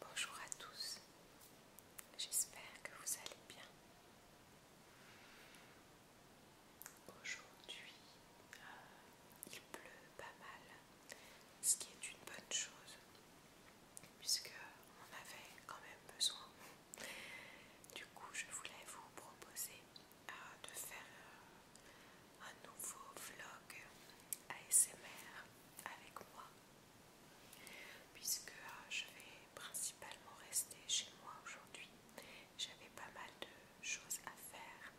Bonjour à tous, j'espère que vous allez bien. Aujourd'hui, euh, il pleut pas mal, ce qui est une bonne chose puisque on avait quand même besoin. Du coup, je voulais vous proposer euh, de faire euh, un nouveau vlog ASMR avec moi, puisque euh, je vais principalement rester chez moi aujourd'hui. J'avais pas mal de choses à faire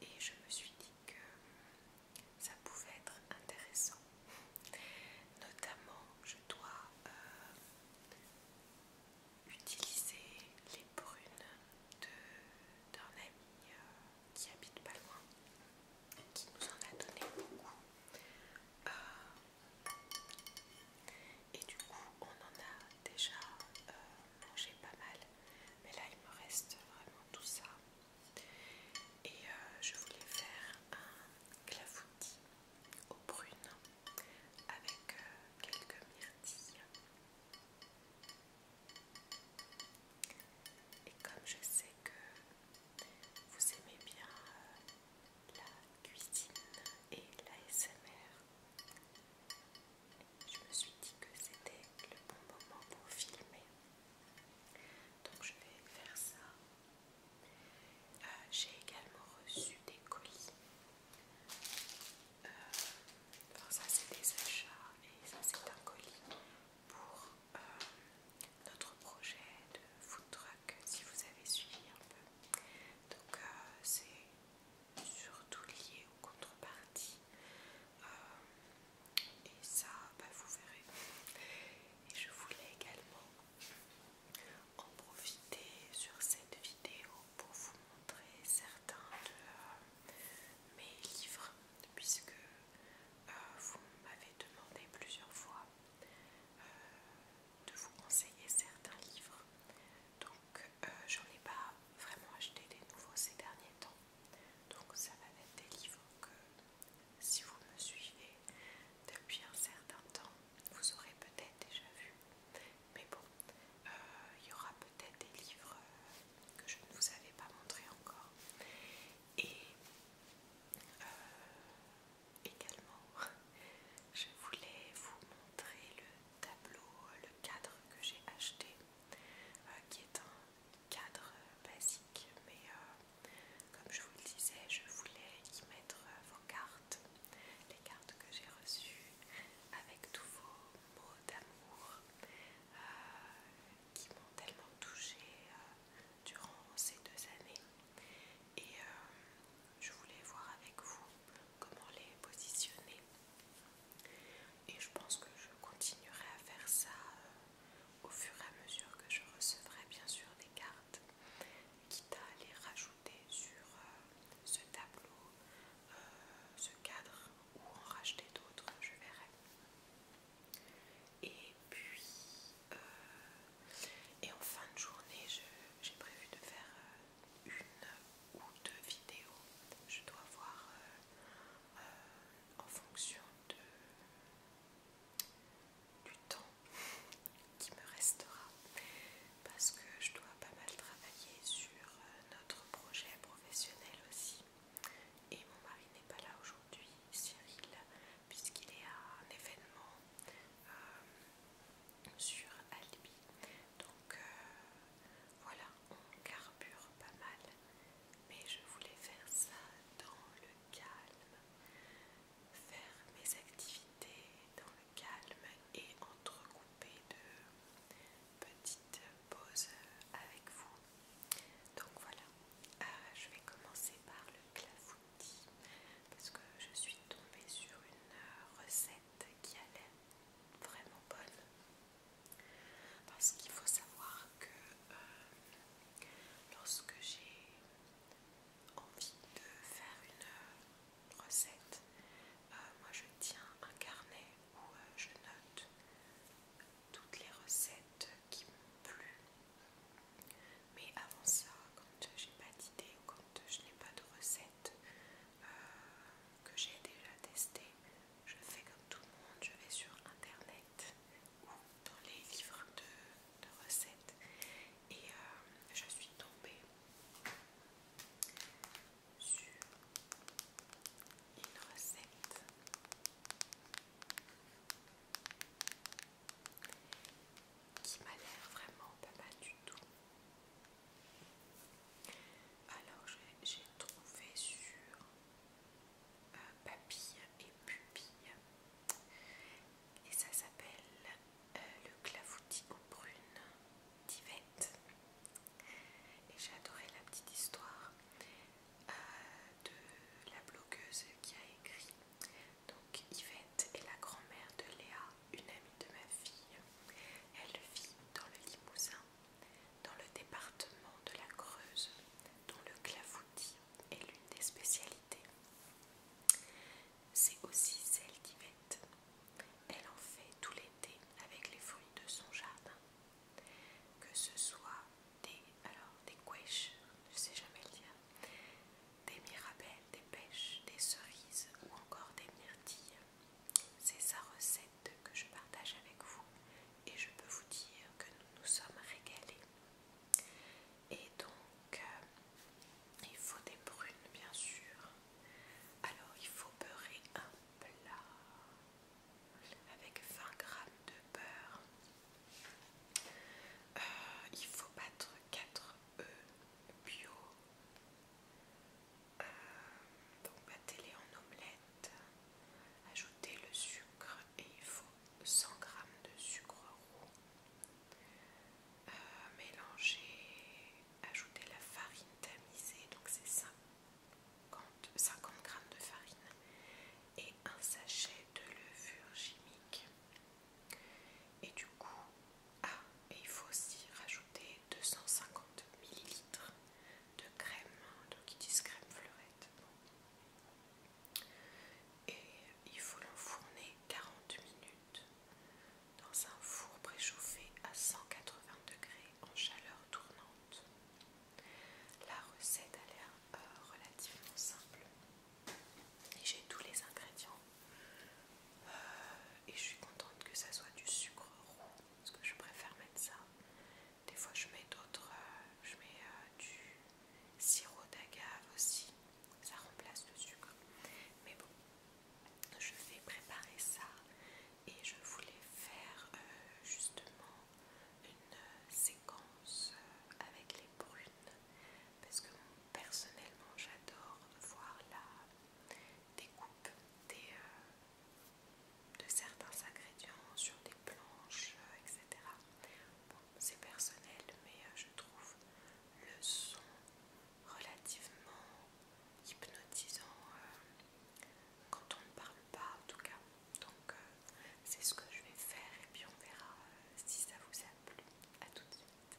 et je me suis dit que ça pouvait être intéressant. Notamment, je dois euh, utiliser les prunes d'un ami euh, qui habite pas loin, qui nous en a donné beaucoup. Euh, et du coup, on en a déjà mangé pas mal mais là il me reste vraiment tout ça et euh, je voulais faire un clafoutis aux prunes avec euh, quelques myrtilles et comme je sais que vous aimez bien euh, la cuisine et l'ASMR, je me suis dit que c'était le bon moment pour filmer. Donc je vais faire ça. Euh, j'ai également reçu des colis. Euh, ça c'est des achats et ça c'est un colis pour euh, notre projet de food truck si vous avez suivi un peu. Donc c'est surtout lié aux contreparties et ça bah, vous verrez et je voulais également en profiter sur cette vidéo pour vous montrer certains de euh, mes livres puisque euh, vous m'avez demandé plusieurs fois euh, de vous conseiller certains livres donc je j'en ai pas vraiment acheté des nouveaux ces derniers temps donc ça va être des livres que si vous me suivez depuis un certain temps, vous aurez peut-être déjà vu. Mais bon, euh, il y aura peut-être des livres que je ne vous avais pas montrés encore. Et euh, également, je voulais vous montrer le tableau, le cadre que j'ai acheté, euh, qui est un cadre basique, mais euh, comme je vous le disais, je voulais y mettre euh, vos cartes, les cartes que j'ai reçues avec tous vos mots d'amour euh, qui m'ont tellement touchée durant ces deux années. Et je voulais voir avec vous comment les positionner et je pense que je continuerai à faire ça euh, au fur et à mesure que je recevrai bien sûr des cartes, quitte à les rajouter sur euh, ce tableau, euh, ce cadre ou en racheter d'autres, je verrai. Et puis, et en fin de journée, j'ai prévu de faire une ou deux vidéos. Je dois voir en fonction du temps qui me restera parce que je dois pas mal travailler sur euh, notre projet professionnel aussi et mon mari n'est pas là aujourd'hui Cyril puisqu'il est à un événement euh, sur Albi donc euh, voilà on carbure pas mal mais je voulais faire ça dans le calme, faire mes activités dans le calme et entrecouper de petites pauses avec vous. Donc voilà, euh, je vais commencer par le clafoutis parce que je suis tombée sur une recette qui allait vraiment bonne parce qu'il faut savoir que euh, lorsque j'ai envie de faire une euh, recette, euh, moi je tiens un carnet où je note toutes les recettes qui m'ont plu. Mais avant ça, quand n'ai pas d'idée ou quand je n'ai pas de recette que j'ai déjà testée, je fais comme tout le monde, je vais sur internet ou dans les livres de, recettes et euh, je suis tombée sur une recette qui m'a l'air vraiment pas mal du tout. Alors j'ai trouvé sur euh, papilles papille et pupille. Et ça s'appelle euh, le clafoutis aux prunes d'Yvette. Et j'ai adoré la petite histoire euh, de la blogueuse qui a écrit. Donc Yvette est la grand-mère de Léa, une amie de ma fille. Elle vit dans le Limousin dans le département de la Creuse, dont le clafoutis est l'une des spécialités. C'est aussi celle d'Yvette. Elle en fait tout l'été avec les fruits de son jardin. Que ce soit des, alors, des couèches, je sais jamais le dire, des mirabelles, des pêches, des cerises ou encore des myrtilles. C'est sa recette que je partage avec vous et je peux vous dire que nous nous sommes régalés. Et donc, euh, il faut des prunes bien sûr. Alors, il faut beurrer un plat avec 20 g de beurre. Euh, il faut battre 4 œufs bio. Euh, donc battez-les en omelette, ajoutez le sucre, et il faut 100 g de sucre roux euh, mélanger, ajouter la farine tamisée, donc c'est 50, 50 g de farine et un sachet de levure chimique. Et du coup, ah, et il faut aussi rajouter 250 ml de crème, donc ils disent crème fleurette. Et il faut l'enfourner 40 minutes dans un four préchauffé à 180 degrés en chaleur tournante. La recette a l'air euh, relativement simple. Et j'ai tous les ingrédients. Euh, et je suis contente que ça soit du sucre roux, parce que je préfère mettre ça. Des fois, je mets d'autres, euh, je mets euh, du sirop d'agave aussi, ça remplace le sucre. Mais bon, je vais préparer ça et je voulais faire euh, justement une séquence avec les brunes parce que personnellement, j'adore voir la découpe des, de certains ingrédients sur des planches, euh, etc. Bon, c'est personnel, mais euh, je trouve le son relativement hypnotisant euh, quand on ne parle pas, en tout cas. Donc, c'est ce que je vais faire et puis on verra si ça vous a plu. A tout de suite.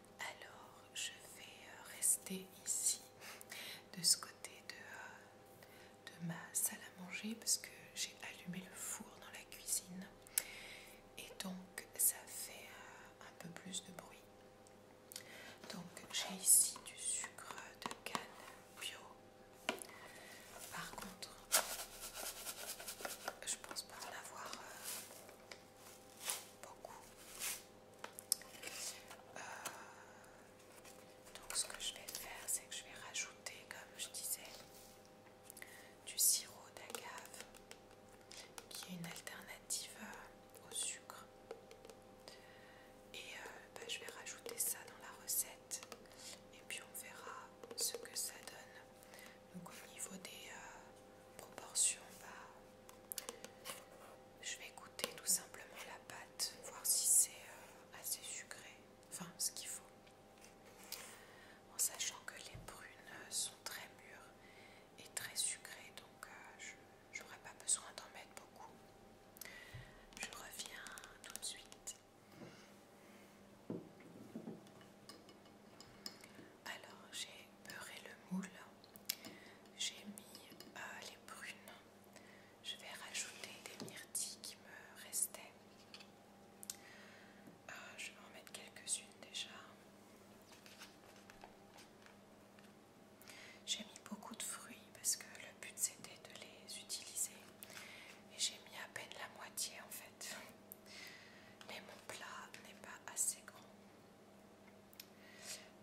Alors je vais euh, rester ici, de ce côté euh, de, ma salle à manger, parce que j'ai allumé le four dans la cuisine. Et donc ça fait euh, un peu plus de bruit. Donc j'ai ici du sucre de canne bio. Par contre, je pense pas en avoir beaucoup. Euh, donc ce que je vais faire, c'est que je vais rajouter, comme je disais, du sirop d'agave, qui est une alternative euh, au sucre. Et euh, bah, je vais rajouter ça dans la recette et puis on verra ce que ça donne. Donc au niveau des proportions, bah, je vais goûter tout simplement la pâte, voir si c'est euh, assez sucré, enfin ce qu'il faut. En sachant que les prunes euh, sont très mûres et très sucrées, donc euh, je n'aurai pas besoin d'en mettre beaucoup. Je reviens tout de suite. Alors j'ai j'ai le moule, j'ai mis euh, les prunes, je vais rajouter des myrtilles qui me restaient. Euh, je vais en mettre quelques-unes déjà. J'ai mis beaucoup de fruits parce que le but c'était de les utiliser et j'ai mis à peine la moitié en fait. Mais mon plat n'est pas assez grand.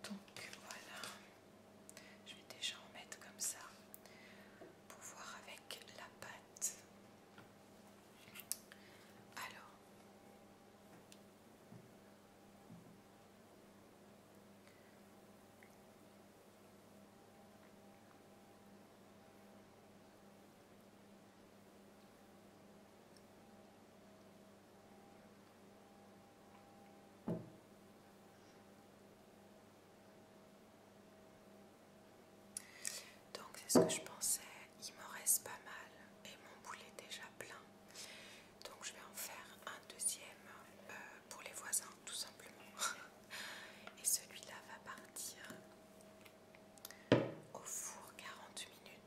Donc voilà, je vais déjà en mettre comme ça pour voir avec la pâte. Alors, donc c'est ce que je pensais, il m'en reste pas mal et mon boulet est déjà plein. Donc je vais en faire un deuxième euh, pour les voisins tout simplement. Et celui-là va partir au four 40 minutes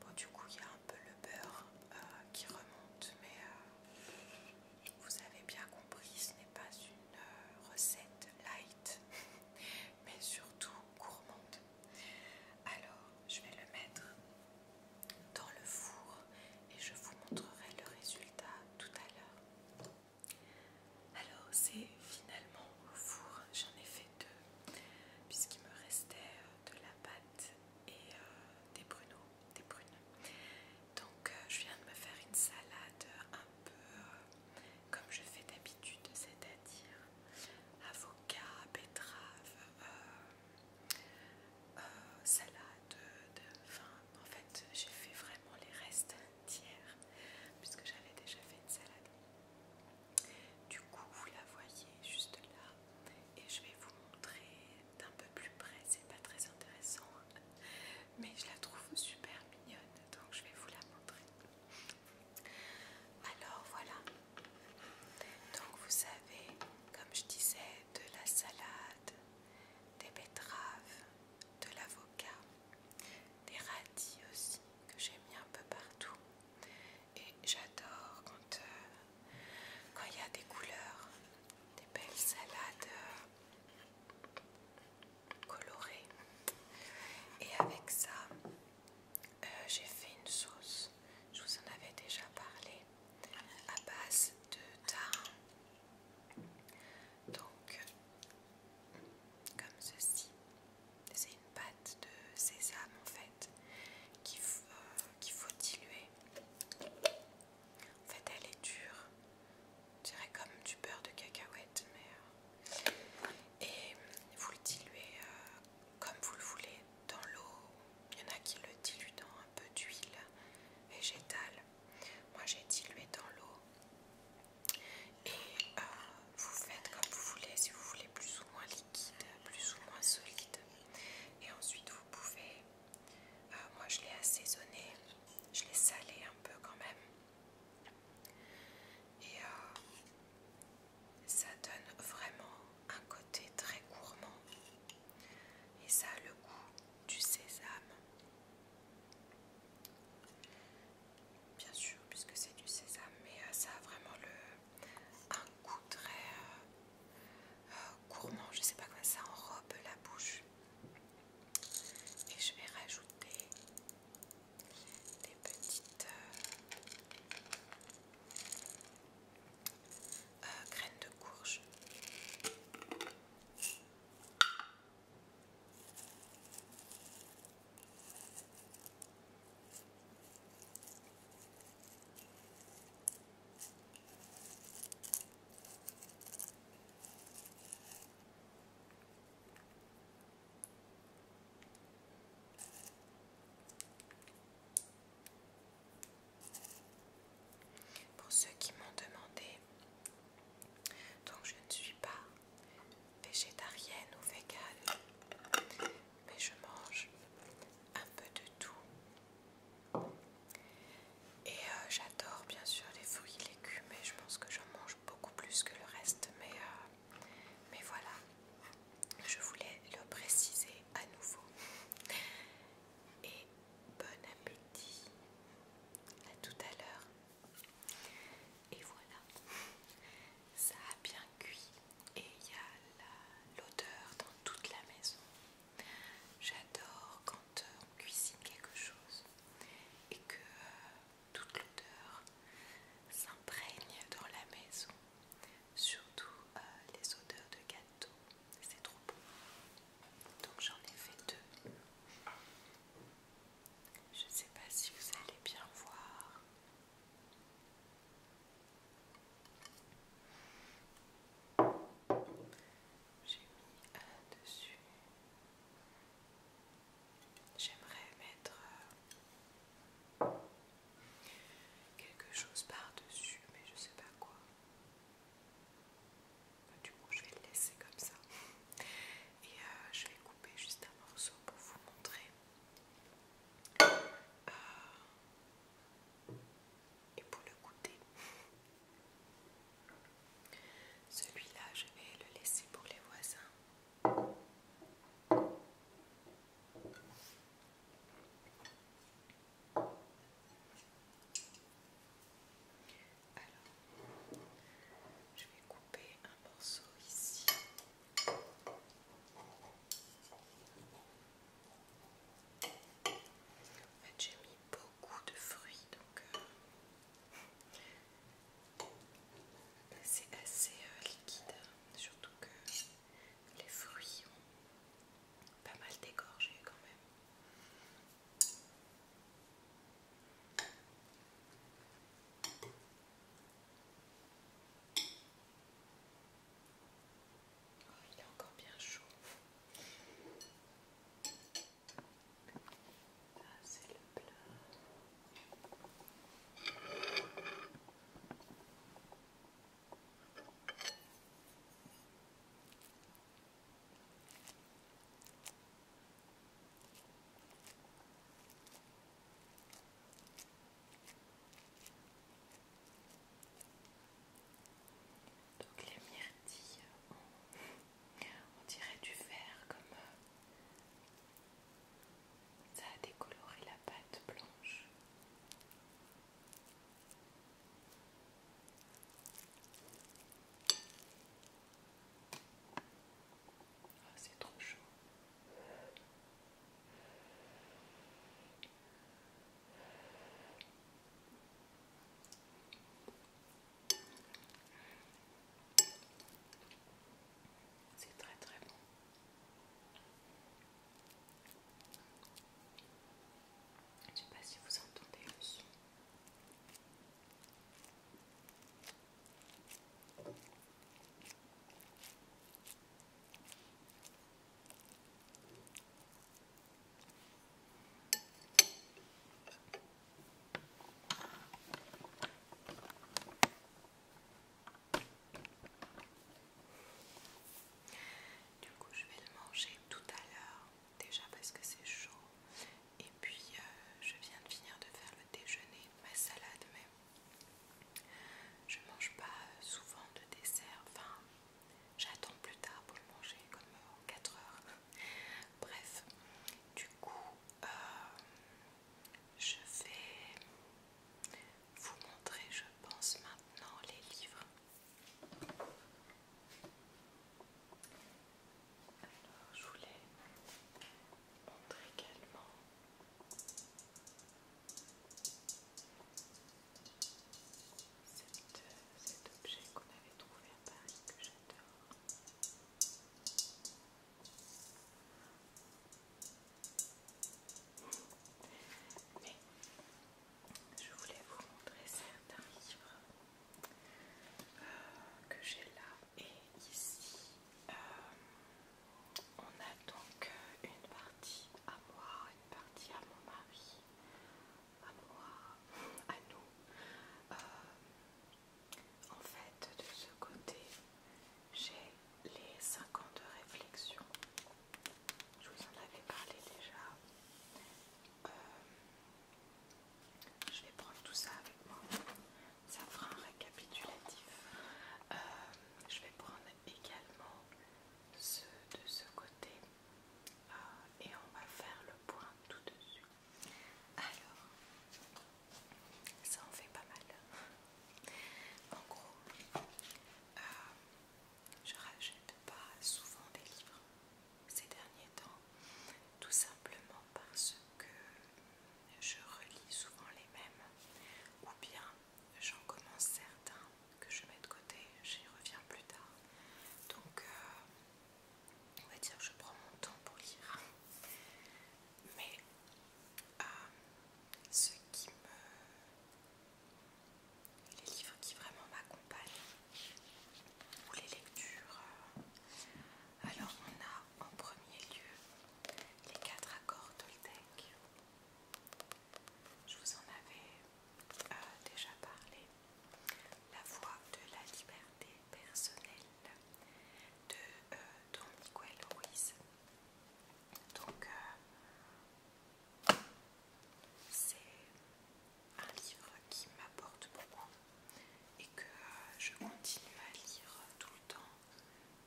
Bon, du coup, il y a un peu le beurre euh, qui remonte, mais euh, vous avez bien compris, ce n'est pas une euh, recette light, mais surtout gourmande. Alors, je vais le mettre dans le four et je vous montrerai le résultat tout à l'heure. Alors c'est finalement au four, j'en ai fait deux puisqu'il me restait de la pâte et euh, des bruneaux des Donc euh, je viens de me faire une salade un peu euh, comme je fais d'habitude, c'est-à-dire avocat, betterave, salade, de, enfin en fait j'ai fait vraiment les restes tiers puisque j'avais déjà fait une salade. Du coup vous la voyez juste là, et je vais vous montrer d'un peu plus près, c'est pas très intéressant, hein, mais je la trouve super mignonne, donc je vais vous la montrer. Alors voilà, donc vous avez, comme je disais, de la salade, des betteraves, de l'avocat, des radis aussi que j'ai mis un peu partout et j'adore quand euh, quand il y a des couleurs, des belles salades euh, colorées. Et avec ça, euh, j'ai fait une sauce. Je vous en avais déjà parlé à base de thym. Donc, comme ceci, c'est une pâte de sésame en fait. Euh, qu'il faut, diluer. En fait, elle est dure, on dirais comme du beurre de cacahuète, mais euh, et vous le diluez euh, comme vous le voulez dans l'eau. Il y en a qui le diluent dans un peu d'huile végétale. Moi, j'ai dilué dans l'eau et vous faites comme vous voulez. Si vous voulez plus ou moins plus ou moins solide. Et ensuite, vous pouvez. Euh, moi, je l'ai assaisonné, je l'ai salé un peu quand même. Et euh, ça donne vraiment un côté très gourmand. Et ça a le goût du sésame. Bien sûr, puisque c'est du sésame, mais euh, ça a vraiment le, un coup très euh, euh, gourmand, je sais pas comment ça enrobe la bouche. Et je vais rajouter des petites euh, euh, graines de courge. Pour ceux qui m'ont demandé, donc je ne suis pas végétarienne ou végane, mais je mange un peu de tout et euh, j'adore bien sûr les fruits, légumes, et je pense que j'en mange beaucoup plus que le reste, mais, euh, mais voilà, je voulais le préciser à nouveau. Et bon appétit, à tout à l'heure. Et voilà, ça a bien cuit et il y a l'odeur dans toute la maison. J'adore quand euh, on cuisine quelque chose et que euh, toute l'odeur s'imprègne dans la maison, surtout euh, les odeurs de gâteau, c'est trop beau. Donc j'en ai fait deux. Je ne sais pas si vous allez bien voir. J'ai mis un dessus. J'aimerais mettre euh, quelque chose par-dessus, mais je sais pas quoi. Du coup, je vais le laisser comme ça. Et euh, je vais couper juste un morceau pour vous montrer. Euh, et pour le goûter. Celui-là, je vais le laisser pour les voisins. Alors, je vais couper un morceau ici j'ai mis beaucoup de fruits, donc euh, bah, c'est assez euh, liquide, hein. surtout que les fruits ont pas mal dégorgé quand même. Oh, il est encore bien chaud. Là, ah, c'est le plat. Donc les myrtilles, on, dirait du vert comme euh, ça a décoloré la pâte blanche. Ah, c'est trop chaud. C'est très très bon. Je ne sais pas si vous entendez le son. Du coup, je vais le manger tout à l'heure, déjà parce que c'est chaud. Et puis, euh, je viens de finir de faire le déjeuner, ma salade même. Je mange pas euh, souvent de dessert, enfin J'attends plus tard pour le manger, comme en euh, 4 heures. Bref, du coup, euh, je vais vous montrer, je pense, maintenant les livres. Alors, je voulais montrer également. Euh, cet, objet qu'on avait trouvé à Paris que j'adore. Mais je voulais vous montrer certains livres euh, que j'ai là et ici. Euh, on a donc une partie à moi, une partie à mon mari, à moi, à nous. Euh, en fait, de ce côté, j'ai les 5 ans de réflexion. Je vous en avais parlé déjà. Euh, je vais prendre tout ça avec moi. Ça fera un récapitulatif. Euh, je vais prendre également ce de ce côté euh, et on va faire le point tout dessus. Alors, ça en fait pas mal. En gros, euh, je rachète pas souvent des livres ces derniers temps, tout simplement parce que je relis souvent les mêmes ou bien j'en commence certains que je mets de côté, j'y reviens plus tard. Donc, euh, on va dire que je prends mon temps pour lire. Mais euh, ce qui me... Les livres qui vraiment m'accompagnent, ou les lectures. Euh, alors, on a en premier lieu les quatre accords Toltec. Je vous en avais déjà parlé, la Voix de la liberté personnelle de euh, Don Miguel Ruiz. Donc, euh, c'est un livre qui m'apporte beaucoup et que euh, je continue à lire tout le temps.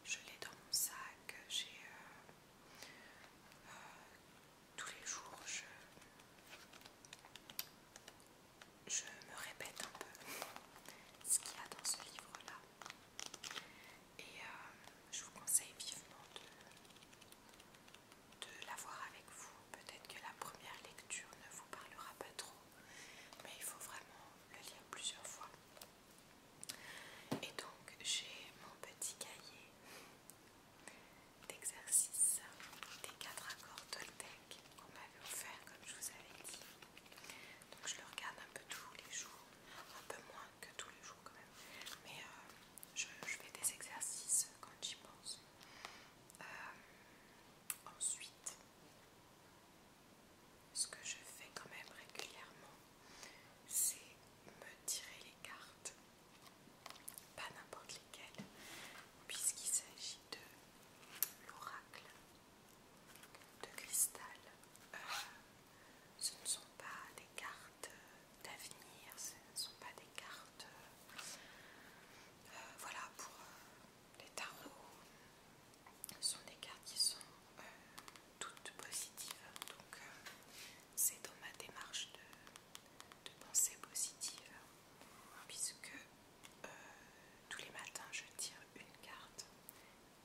Je l'ai dans mon sac, j'ai tous les jours je, me répète un peu ce qu'il y a dans ce livre-là. Et euh, je vous conseille vivement de l'avoir avec vous. Peut-être que la première lecture ne vous parlera pas trop, mais il faut vraiment le lire plusieurs fois. Et donc j'ai mon petit cahier d'exercices des quatre accords Toltec qu'on m'avait offert, comme je vous avais dit. Donc je le regarde un peu tous les jours, un peu moins que tous les jours quand même, mais euh, je, fais des exercices quand j'y pense. Euh, ensuite, ce que je fais quand même régulièrement, c'est me tirer les cartes pas n'importe lesquels, puisqu'il s'agit de l'oracle de cristal. Euh, ce ne sont pas des cartes euh, d'avenir, ce ne sont pas des cartes euh, voilà pour les tarots. Ce sont des cartes qui sont toutes positives, donc c'est dans ma démarche de de pensée positive puisque euh, tous les matins je tire une carte.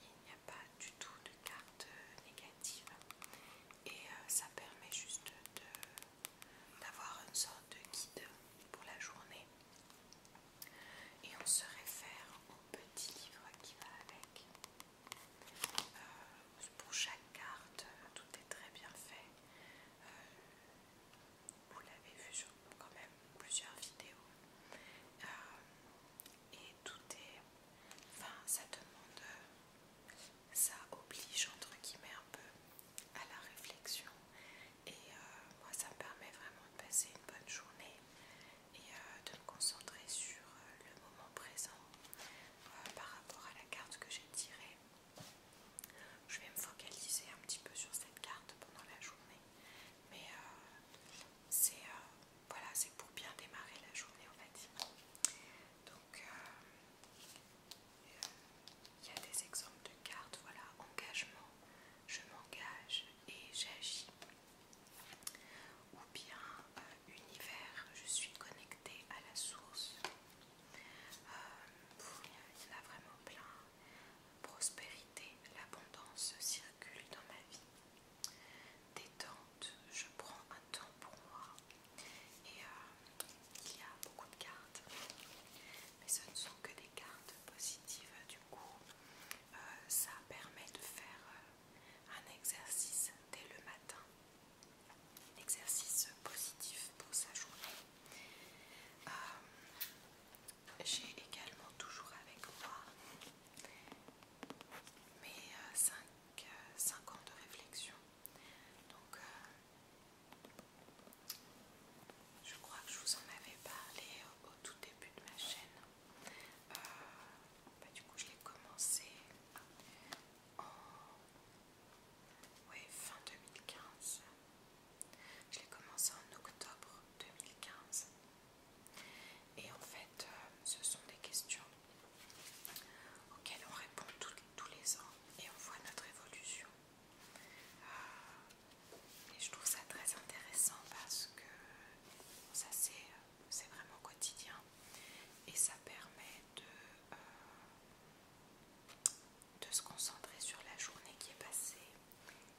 Il n'y a pas du tout de carte négative et euh, ça permet juste d'avoir une sorte de guide pour la journée. Et on se réfère au petit livre qui va avec. Euh, pour chaque carte, euh, tout est très bien fait. Euh, vous l'avez vu sur quand même plusieurs vidéos. Euh, et tout est. Enfin, ça demande. Ça oblige, entre guillemets, un peu à la réflexion. Et moi, ça me permet vraiment de passer une bonne journée et de me concentrer sur le moment présent par rapport à la carte que j'ai tirée. Je vais me focaliser un petit peu sur cette carte pendant la journée, mais euh, c'est euh, voilà, c'est pour bien démarrer la journée en fait Donc euh, il y a des exemples de cartes, voilà, engagement, je m'engage et j'agis. Ou bien univers, je suis connectée à la source. Euh, il y en a vraiment plein. Prospérité, l'abondance circule dans ma vie. Détente, je prends un temps pour moi. Et euh, il y a beaucoup de cartes, mais ce ne sont que des cartes positives. Du coup, euh, ça permet de faire un exercice dès le matin exercice positif pour sa journée. Euh, j'ai également toujours avec moi mes 5 euh, euh, ans de réflexion. Donc, je crois que je vous en avais parlé au, tout début de ma chaîne. Bah, du coup, je l'ai commencé en oui, fin 2015. Je l'ai commencé en octobre 2015. Et en fait, euh, ce sont des questions auxquelles on répond tous les ans et on voit notre évolution. Euh, et je trouve ça très intéressant parce que ça c'est vraiment quotidien et ça permet de, euh, de se concentrer sur la journée qui est passée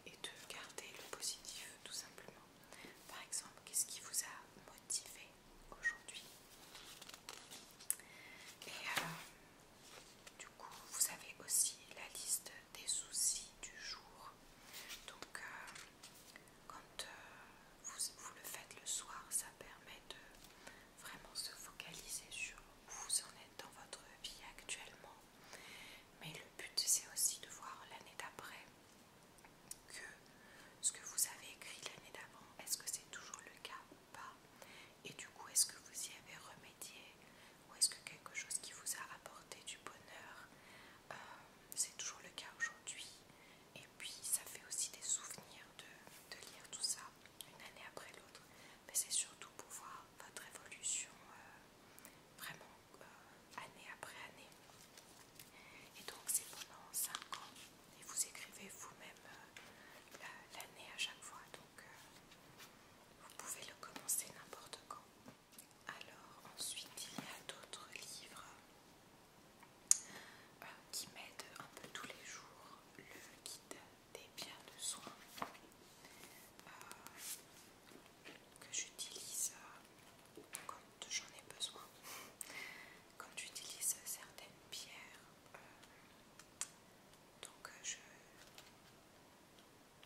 et de garder le positif tout simplement. Par exemple, qu'est-ce qui vous a motivé aujourd'hui Et euh, du coup, vous avez aussi la liste des soucis du jour. Donc, euh, quand euh, vous le faites le soir, ça permet de vraiment se focaliser sur où vous en êtes dans votre vie actuellement. Mais le but, c'est aussi de voir l'année d'après que ce que vous avez écrit l'année d'avant, est-ce que c'est toujours le cas ou pas Et du coup, est-ce que vous y avez remédié Ou est-ce que quelque chose qui vous a apporté du bonheur, euh, c'est toujours le cas aujourd'hui Et puis, ça fait aussi des souvenirs de lire tout ça une année après l'autre, mais c'est surtout pour voir votre évolution euh, vraiment euh, année après année. Et donc c'est pendant 5 ans et vous écrivez vous-même euh, l'année à chaque fois. Donc vous pouvez le commencer n'importe quand. Alors ensuite il y a d'autres livres qui m'aident un peu tous les jours. Le guide des pierres de soins euh, que j'utilise euh, quand j'en ai besoin. Quand j'utilise certaines pierres, euh, donc je,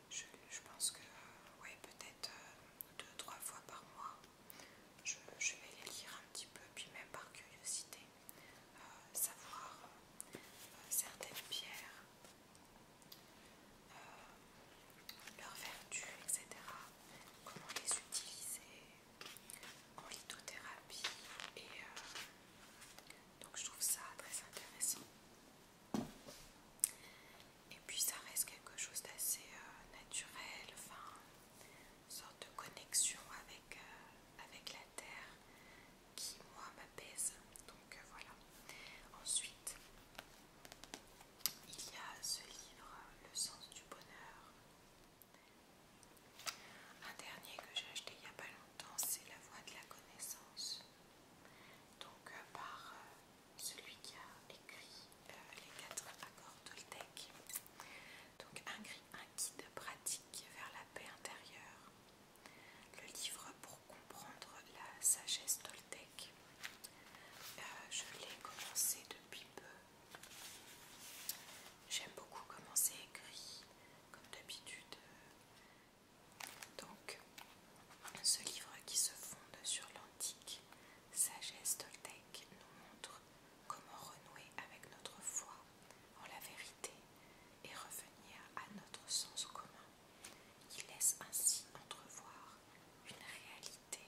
je, pense que oui, peut-être deux trois fois par mois, je vais les lire un petit peu, puis même par curiosité. Euh, savoir euh, certaines pierres, euh, leurs vertus, etc. Comment les utiliser en lithothérapie. Et donc je trouve ça très intéressant. Et puis ça reste quelque chose d'assez naturel, enfin, une sorte de connexion avec la terre, qui moi m'apaise. Donc euh, voilà. Ensuite, il y a ce livre, Le sens du bonheur. Un dernier que j'ai acheté il n'y a pas longtemps, c'est La voix de la connaissance. Donc euh, par euh, celui qui a écrit les quatre accords Toltec. Donc un, un guide pratique vers la paix intérieure le livre pour comprendre la sagesse toltec. Euh, je l'ai commencé depuis peu. J'aime beaucoup comment c'est écrit, comme d'habitude. Donc, ce livre qui se fonde sur l'antique sagesse toltec nous montre comment renouer avec notre foi en la vérité et revenir à notre sens commun, qui laisse ainsi entrevoir une réalité,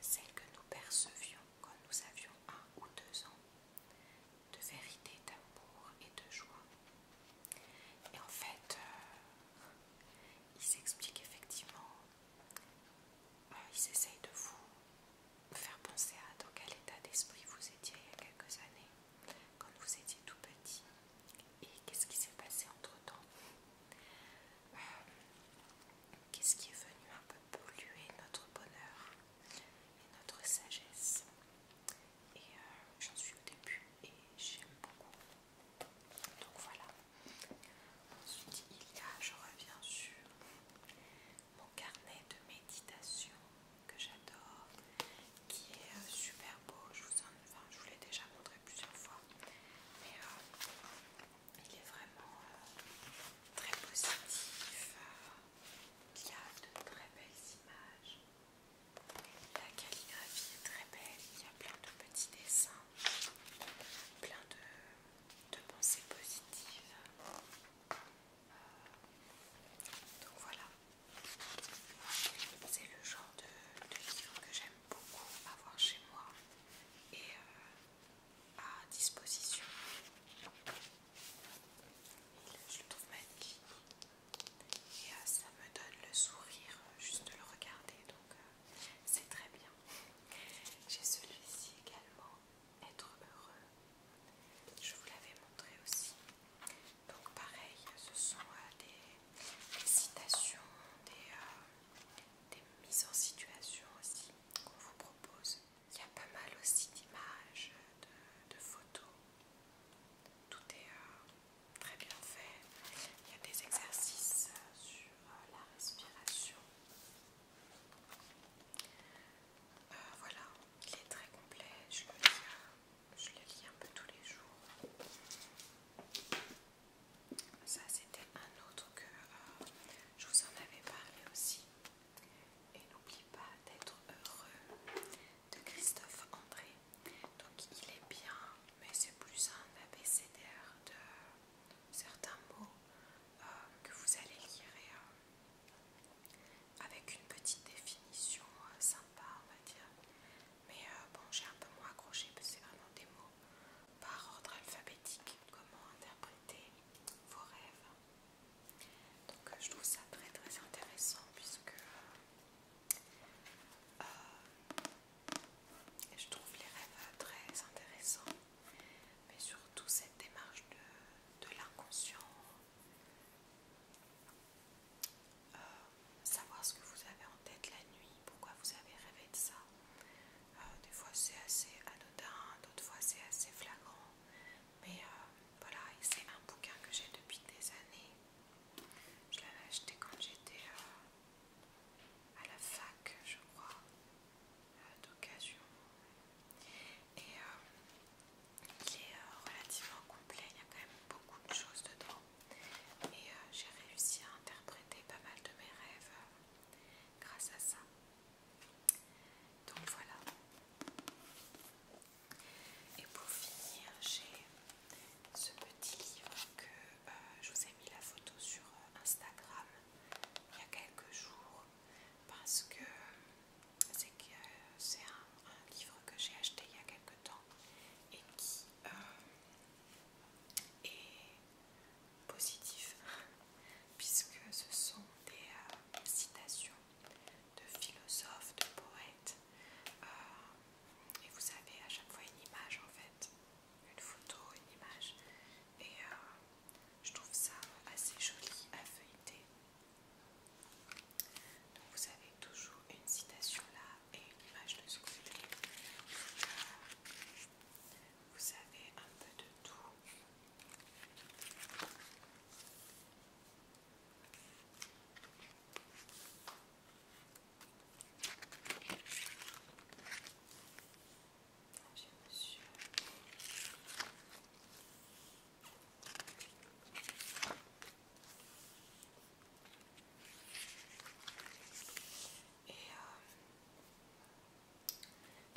celle que nous percevions quand nous avions un ou deux ans, de vérité, d'amour et de joie. Et en fait, euh, il s'explique effectivement, il euh, ils de vous faire penser à dans quel état d'esprit vous étiez il y a quelques années, quand vous étiez tout petit, et qu'est-ce qui s'est passé entre-temps. Euh, qu'est-ce qui est venu un peu polluer notre bonheur et notre sagesse. Et euh, j'en suis au début et j'aime beaucoup. Donc voilà. Ensuite, il y a, je reviens sur mon carnet de méditation que j'adore, qui est euh, super beau. Je vous, l'ai déjà montré plusieurs fois, mais euh, il est vraiment euh, très positif. Il y a de très belles images. La calligraphie est très belle. Il y a plein de petits dessins, plein de pensées positives donc voilà, c'est le genre de, livre que j'aime beaucoup avoir chez moi et euh, à disposition. je le trouve magnifique et euh, ça me donne le sourire euh, juste de le regarder, donc c'est très bien. J'ai celui-ci également, Être heureux. Je vous l'avais montré aussi. Donc pareil, ce sont euh, des, citations, euh, des, mises en situation aussi qu'on vous propose. Il y a pas mal aussi d'images, euh, de, photos. Tout est très bien fait. Il y a des exercices sur la respiration. voilà, il est très complet. Je le dire je le lis un peu tous les jours. Ça, c'était un autre que euh, je vous en avais parlé aussi. Et n'oublie pas d'être heureux de Christophe André. Donc, il est bien, mais c'est plus un abécédaire de euh, certains mots euh, que vous allez lire avec une petite définition euh, sympa, on va dire. Mais euh, bon, j'ai un peu moins accroché parce que c'est vraiment des mots par ordre alphabétique. Comment interpréter vos rêves. Donc, euh, je trouve ça très très intéressant puisque je trouve les rêves très intéressants, mais surtout cette démarche de l'inconscient euh, savoir ce que vous avez en tête la nuit, pourquoi vous avez rêvé de ça. Euh, des fois c'est assez anodin, d'autres fois c'est assez flagrant. Mais euh, voilà, c'est un bouquin que j'ai depuis des années. Je l'avais acheté quand j'étais à la fac, je crois, d'occasion. Et il est euh, relativement complet, il y a quand même beaucoup de choses dedans. Et euh, j'ai réussi à interpréter pas mal de mes rêves euh, grâce à ça. Donc voilà. Et pour finir, j'ai ce petit livre que je vous ai mis la photo sur Instagram il y a quelques jours parce que c'est que euh, c'est un, livre que j'ai acheté il y a quelques temps et qui euh, est positif puisque ce sont des euh, citations de philosophes, de poètes et vous avez à chaque fois une image en fait, une photo, une image et je trouve ça assez joli à feuilleter vous avez toujours une citation là et une image de ce côté. Vous avez un peu de tout. Monsieur. Et euh,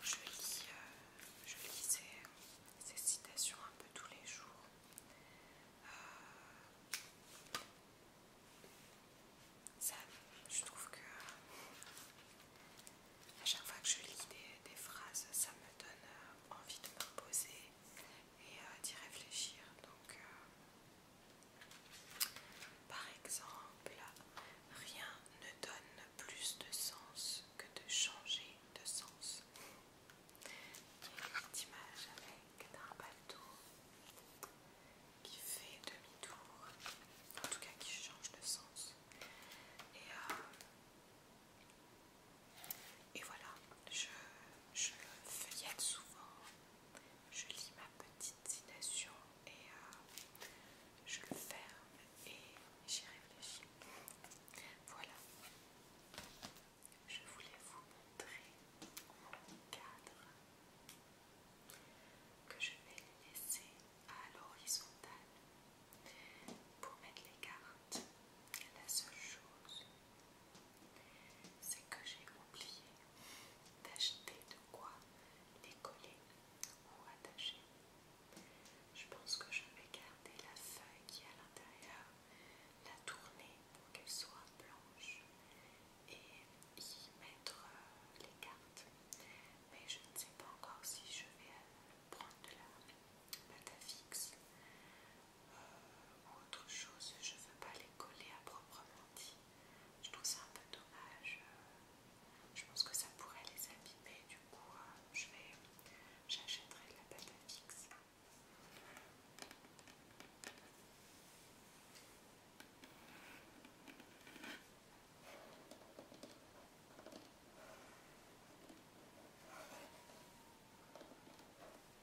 je, lis, euh, je ces, citations un peu tous les jours. Euh, je trouve que à chaque fois que je lis des, phrases, ça me donne envie de me reposer, et euh, d'y réfléchir. Donc, euh, par exemple, rien ne donne plus de sens que de changer de sens. Il une petite image avec un bateau qui fait demi-tour, en tout cas qui change de sens. Et euh, et voilà, je, feuillette souvent, je lis ma petite citation et euh, je le ferme et j'y réfléchis. Voilà, je voulais vous montrer mon cadre que je vais laisser à l'horizontale pour mettre les cartes. La seule chose c'est que j'ai oublié d'acheter de quoi les coller ou attacher. Je pense que je vais garder la feuille qui est à l'intérieur, la tourner pour qu'elle soit blanche et y mettre euh, les cartes. Mais je ne sais pas encore si je vais euh, prendre de la pâte à fixe ou autre chose, je ne veux pas les coller à proprement dit. Je trouve ça un peu dommage. Euh, je pense que ça pourrait les abîmer, du coup, euh, je vais, j'achèterai de la pâte à fixe.